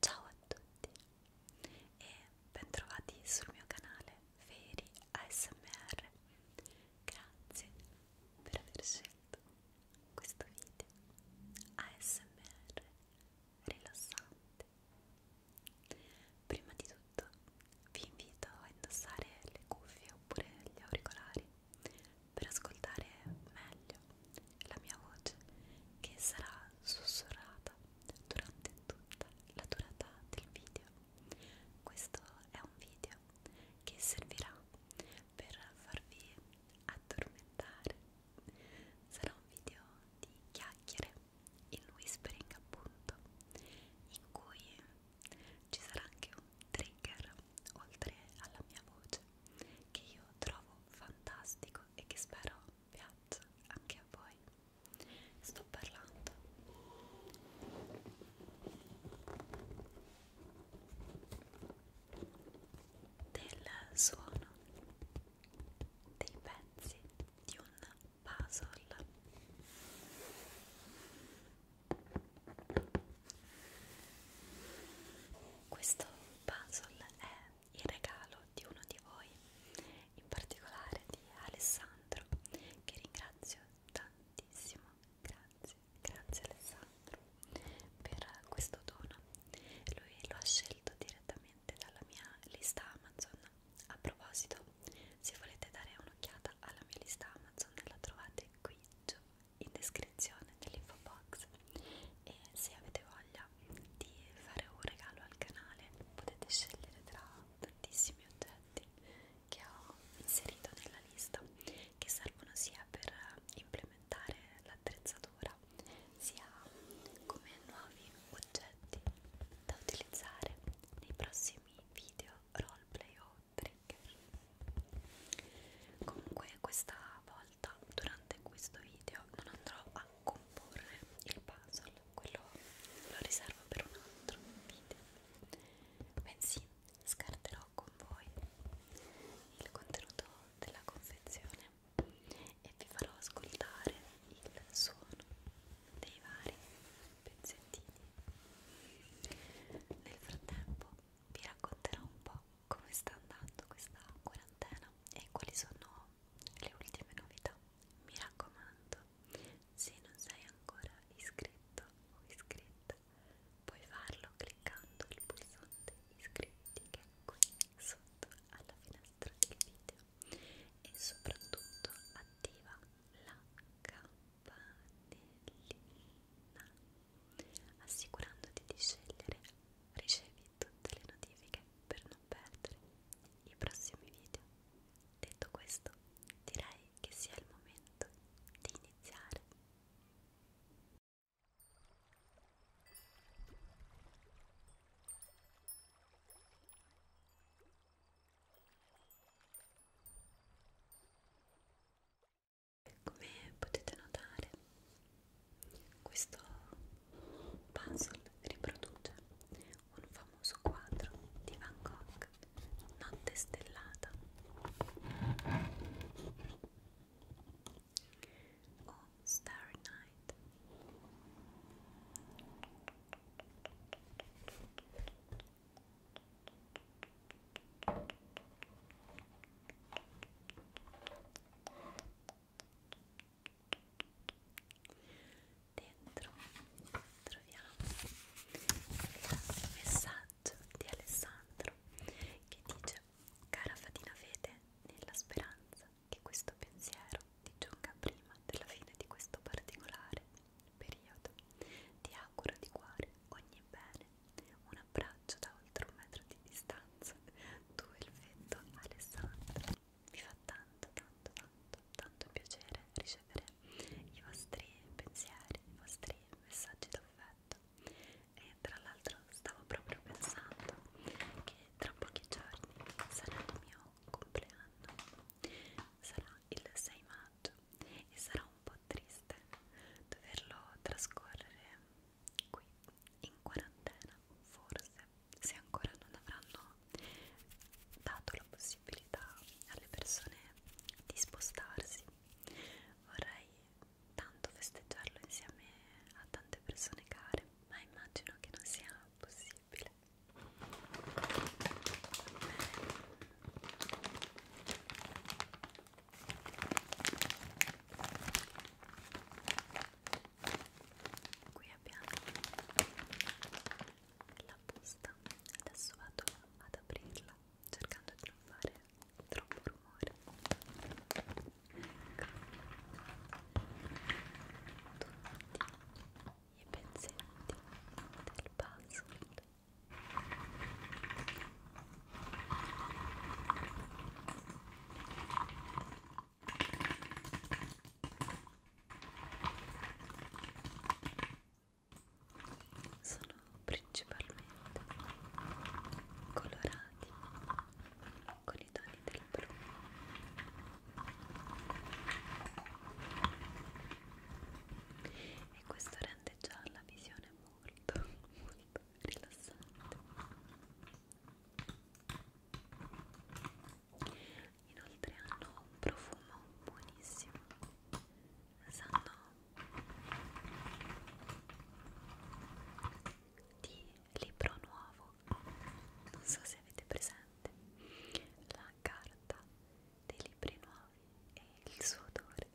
Ciao a tutti e bentrovati sul mio canale. Feri ASMR grazie per aver scelto questo video ASMR rilassante prima di tutto vi invito a indossare le cuffie oppure gli auricolari per ascoltare meglio la mia voce che sarà sussurrata durante tutta la durata del video questo è un video che servirà per farvi addormentare. Sarà un video di chiacchiere, il whispering appunto, in cui ci sarà anche un trigger oltre alla mia voce che io trovo fantastico e che spero piaccia anche a voi sto parlando del suono dei pezzi di un puzzle questo puzzle è il regalo di uno di voi in particolare di Alessandro che ringrazio ringrazio tantissimo, grazie, grazie Alessandro per questo dono. Lui lo ha scelto direttamente dalla mia lista Amazon. A proposito, se volete dare un'occhiata alla mia lista Amazon, la trovate qui giù in descrizione nell'info box. E se avete voglia di fare un regalo al canale, potete scegliere tra tantissimi oggetti che ho inserito nella lista che servono sia per implementare l'attrezzatura sia come nuovi oggetti da utilizzare nei prossimi video roleplay o trigger comunque questa volta durante questo video non andrò a comporre il puzzle quello lo riservo per un altro video bensì scarterò con voi il contenuto della confezione e vi farò ascoltare il suono dei vari pezzettini nel frattempo vi racconterò un po' come sta andando questa quarantena e quali sono le ultime novità mi raccomando se non sei ancora iscritto o iscritta, puoi farlo cliccando il pulsante iscriviti che è qui sotto alla finestra del video e soprattutto attiva la campanellina assicurandoti di scegliere ricevi tutte le notifiche per non perdere i prossimi video. Detto questo, direi che sia il momento di iniziare. Come potete notare, questo puzzle riproduce un famoso quadro di Van Gogh, Notte stellata. O Starry Night dentro troviamo il messaggio di Alessandro che dice cara Fatina Fede nella speranza che questo pensiero ti giunga prima della fine di questo particolare periodo ti auguro di cuore ogni bene un abbraccio da oltre un metro di distanza tu e il fetto Alessandro mi fa tanto tanto tanto tanto piacere ricevere i vostri pensieri, i vostri messaggi d'affetto e tra l'altro stavo proprio pensando che tra pochi giorni sarà il mio compleanno sarà il 6 maggio e sarà un po' triste doverlo trascorrere qui in quarantena forse se ancora non avranno dato la possibilità alle persone di spostarsi. Vorrei tanto festeggiarlo insieme a tante persone care, ma immagino che non sia possibile qui abbiamo la busta adesso vado ad aprirla cercando di non fare troppo rumore ecco. tutti i pezzetti del puzzle sono principalmente colorati con i toni del blu e questo rende già la visione molto molto rilassante inoltre hanno un profumo buonissimo sanno di libro nuovo non so se avete presente la carta dei libri nuovi e il suo odore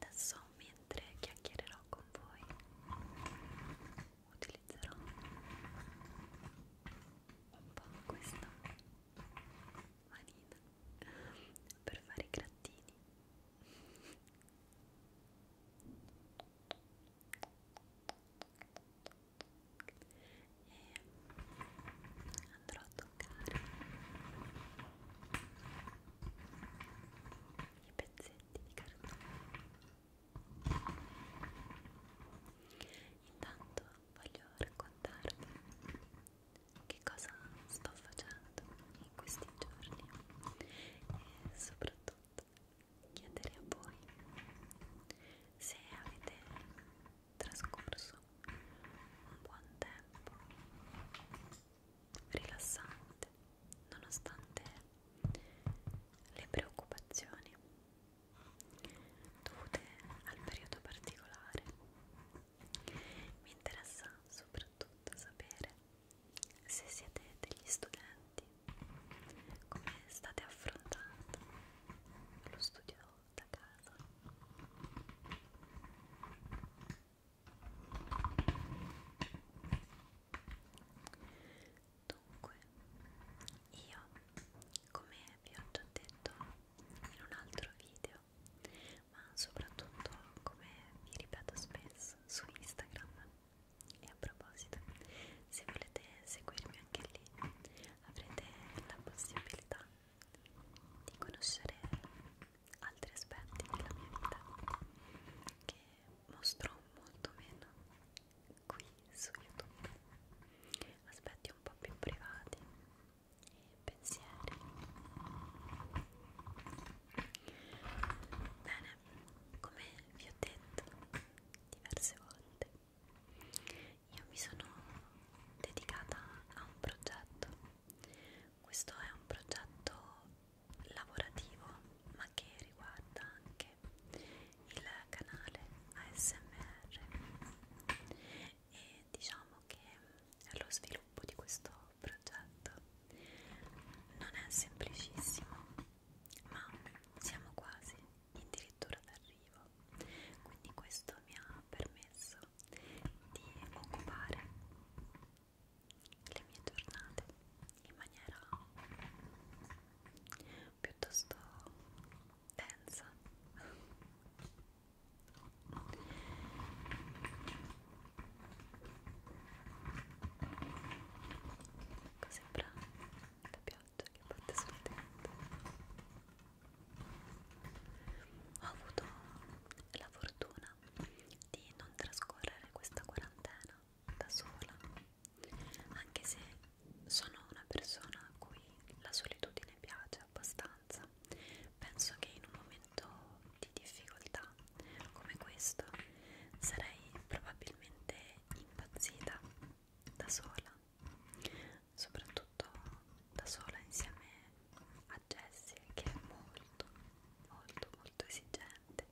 adesso mentre chiacchiererò con voi utilizzerò un po' questa manina per fare i grattini e andrò a toccare i pezzetti di cartone Intanto voglio raccontarvi che cosa sto facendo in questi giorni e soprattutto chiedere a voi se avete trascorso un buon tempo rilassante nonostante le preoccupazioni dovute al periodo particolare. Mi interessa soprattutto sapere se siete degli studenti, come state affrontando lo studio da casa. Dunque, io, come vi ho già detto in un altro video, ma soprattutto come vi ripeto spesso su Instagram, e a proposito, se volete seguirmi anche lì, avrete la possibilità di conoscere altri aspetti della mia vita che mostrò molto meno qui su YouTube aspetti un po' più privati e pensieri bene come vi ho detto diverse volte io mi sono dedicata a un progetto questo è un progetto lavorativo ma che riguarda anche il canale ASMR e diciamo che lo sviluppo di questo progetto non è semplicissimo ma siamo quasi addirittura d'arrivo quindi questo mi ha permesso di occupare le mie giornate in maniera piuttosto densa ecco sembra la pioggia che batte sul tetto ho avuto la fortuna di non trascorrere questa quarantena da sola anche se sono una persona a cui la solitudine piace abbastanza, penso che in un momento di difficoltà come questo sarei probabilmente impazzita da sola, soprattutto da sola insieme a Jessie che è molto molto molto esigente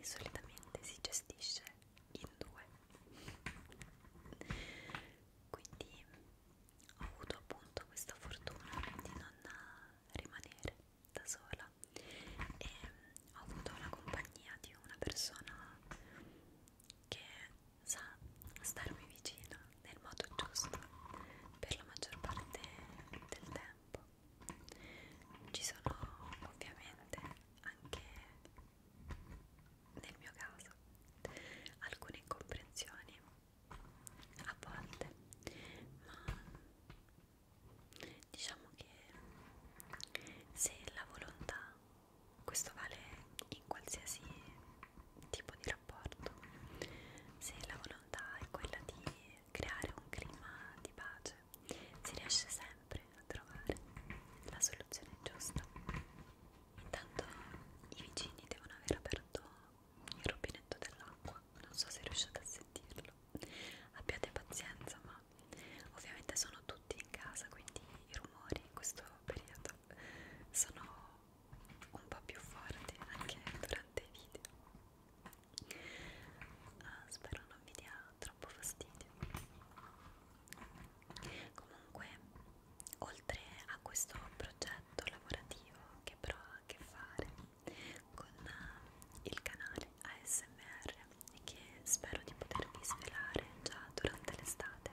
e solitamente si gestisce in due quindi ho avuto appunto questa fortuna di non rimanere da sola e ho avuto la compagnia di una persona che sa starmi vicino nel modo giusto per la maggior parte del tempo ci sono ovviamente anche nel mio caso alcune incomprensioni a volte, ma diciamo che se la volontà, questo vale in qualsiasi tipo di rapporto, se la volontà è quella di creare un clima di pace, si riesce sempre a trovare la soluzione giusta. Intanto i vicini devono aver aperto il rubinetto dell'acqua, non so se riuscite a sentirlo. Abbiate pazienza, ma ovviamente sono tutti in casa, quindi i rumori in questo periodo sono un po' più forti anche durante i video uh, spero non vi dia troppo fastidio comunque oltre a questo progetto lavorativo che però ha a che fare con uh, il canale ASMR e che spero di potervi svelare già durante l'estate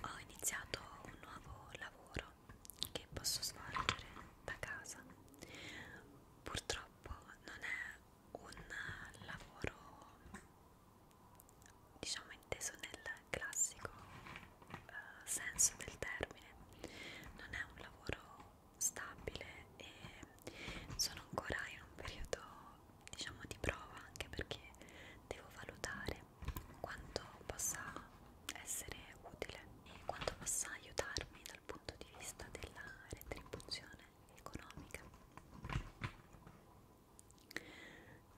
ho iniziato un nuovo lavoro che posso svolgere da casa. Purtroppo non è un lavoro diciamo inteso nel classico uh, senso del termine, non è un lavoro stabile e sono ancora in un periodo diciamo di prova anche perché devo valutare quanto possa essere utile e quanto possa aiutarmi dal punto di vista della retribuzione economica.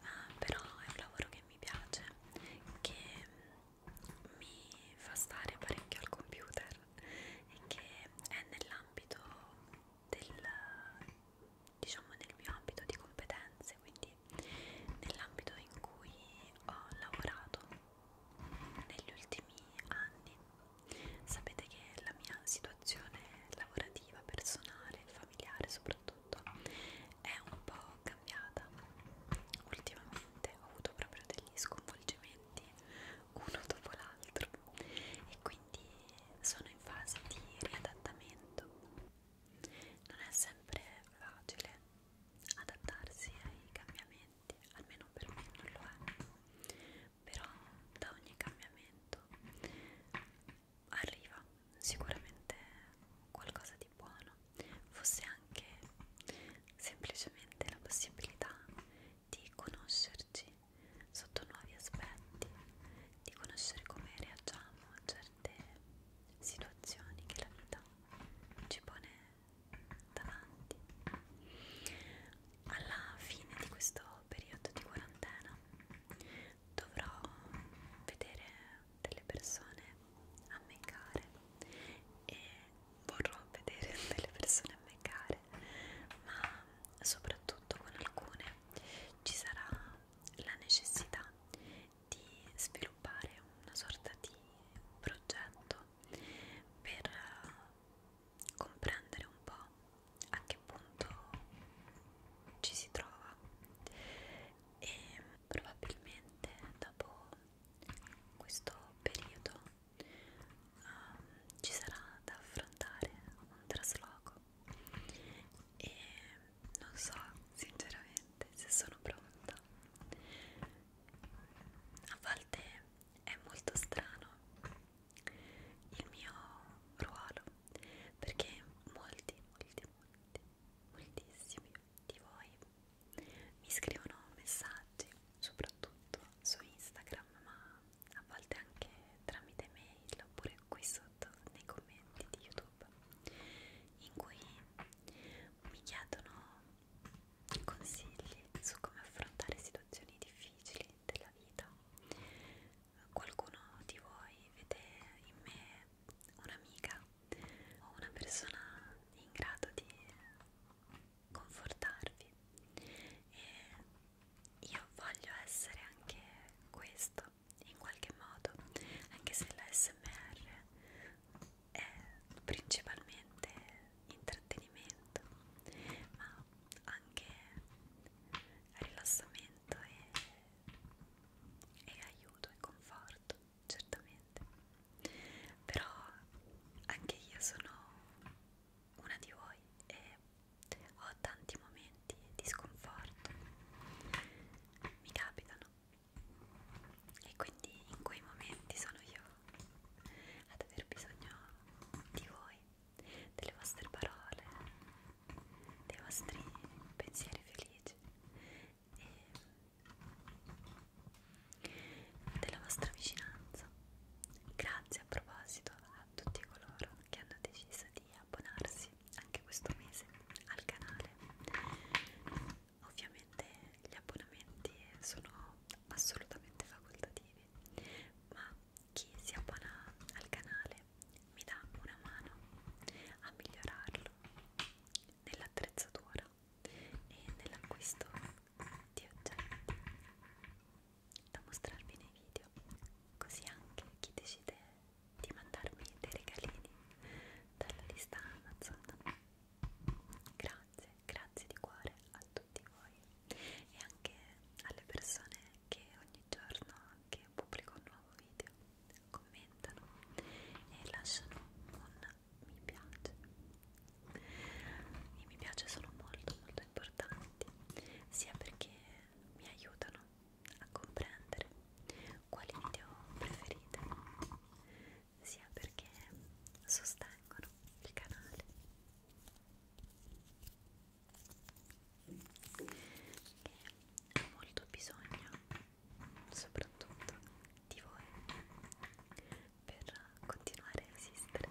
Uh, però è un lavoro che mi piace, che mi fa stare parecchio al computer e che è nell'ambito del diciamo nel mio ambito di competenze, quindi nell'ambito in cui ho lavorato negli ultimi anni sapete che la mia situazione lavorativa, personale, familiare soprattutto è un po' cambiata ultimamente ho avuto proprio degli sconvolgimenti uno dopo l'altro e quindi sono in fase di riadattamento non è sempre facile adattarsi ai cambiamenti, almeno per me non lo è, però da ogni cambiamento arriva sicuramente qualcosa di buono, fosse anche semplicemente la possibilità di conoscerci sotto nuovi aspetti, di conoscere come reagiamo a certe situazioni che la vita ci pone davanti alla fine di questo periodo di quarantena dovrò vedere delle persone a me care e vorrò vedere delle persone a me care ma soprattutto con alcune ci sarà la necessità di sviluppare una sorta di progetto per eh, comprendere un po' a che punto ci si trova e probabilmente dopo questo periodo um, ci sarà da affrontare un trasloco e non so sinceramente se sono pronta a volte è molto strano il mio ruolo perché molti, molti, molti, moltissimi di voi mi scrivono messaggi soprattutto su Instagram ma a volte anche tramite mail oppure qui sotto nei commenti di YouTube in cui mi chiedono consigli su come affrontare situazioni difficili della vita. Qualcuno di voi vede in me un'amica o una persona in grado di confortarvi e io voglio essere anche questo in qualche modo, anche se la SMR è principalmente intrattenimento, ma anche rilassamento e, e aiuto e conforto, certamente. Però anche io sono una di voi e ho tanti momenti di sconforto, mi capitano e quindi in quei momenti sono io ad aver bisogno di voi, delle vostre parole, dei vostri pensieri felici e della vostra vicinanza. Grazie a proposito a tutti coloro che hanno deciso di abbonarsi anche questo mese al canale Ovviamente gli abbonamenti sono assolutamente facoltativi, ma chi si abbona al canale mi dà una mano a migliorarlo nell'attrezzatura e nell'acquisto di oggetti da mostrarvi nei video, così anche chi decide di mandarmi dei regalini dalla lista Amazon. Grazie, grazie di cuore a tutti voi e anche alle persone che ogni giorno che pubblico un nuovo video commentano e lasciano un mi piace. I mi piace sono molto molto importanti sia perché mi aiutano a comprendere quali video preferite sia perché sostengono il canale che ha molto bisogno soprattutto di voi per continuare a esistere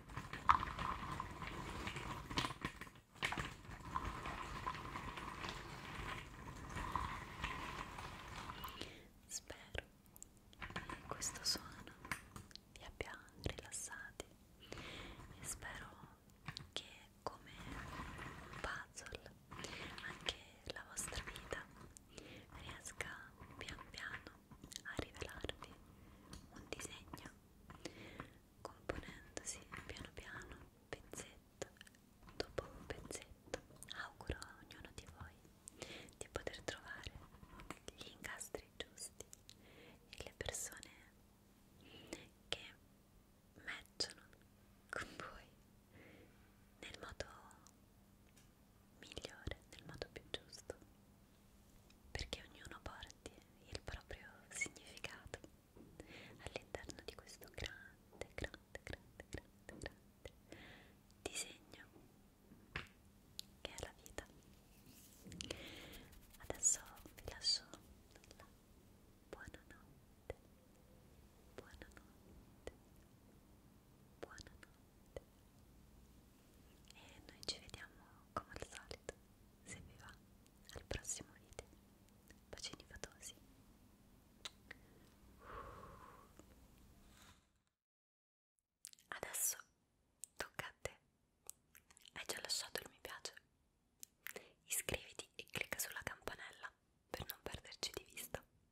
Spero che questo suono vi abbia rilassati e spero che come un puzzle anche la vostra vita riesca pian piano a rivelarvi un disegno componendosi piano piano pezzetto dopo un pezzetto. Auguro a ognuno di voi di poter trovare gli incastri giusti e le persone che matchano con voi nel modo migliore, nel modo più giusto perché ognuno porti il proprio significato all'interno di questo grande, grande, grande, grande, grande disegno che è la vita. Adesso vi lascio la buonanotte, buonanotte, buonanotte e noi ci vediamo come al solito se vi va al prossimo video bacini fatosi adesso tocca a te hai già lasciato il mi piace iscriviti e clicca sulla campanella per non perderci di vista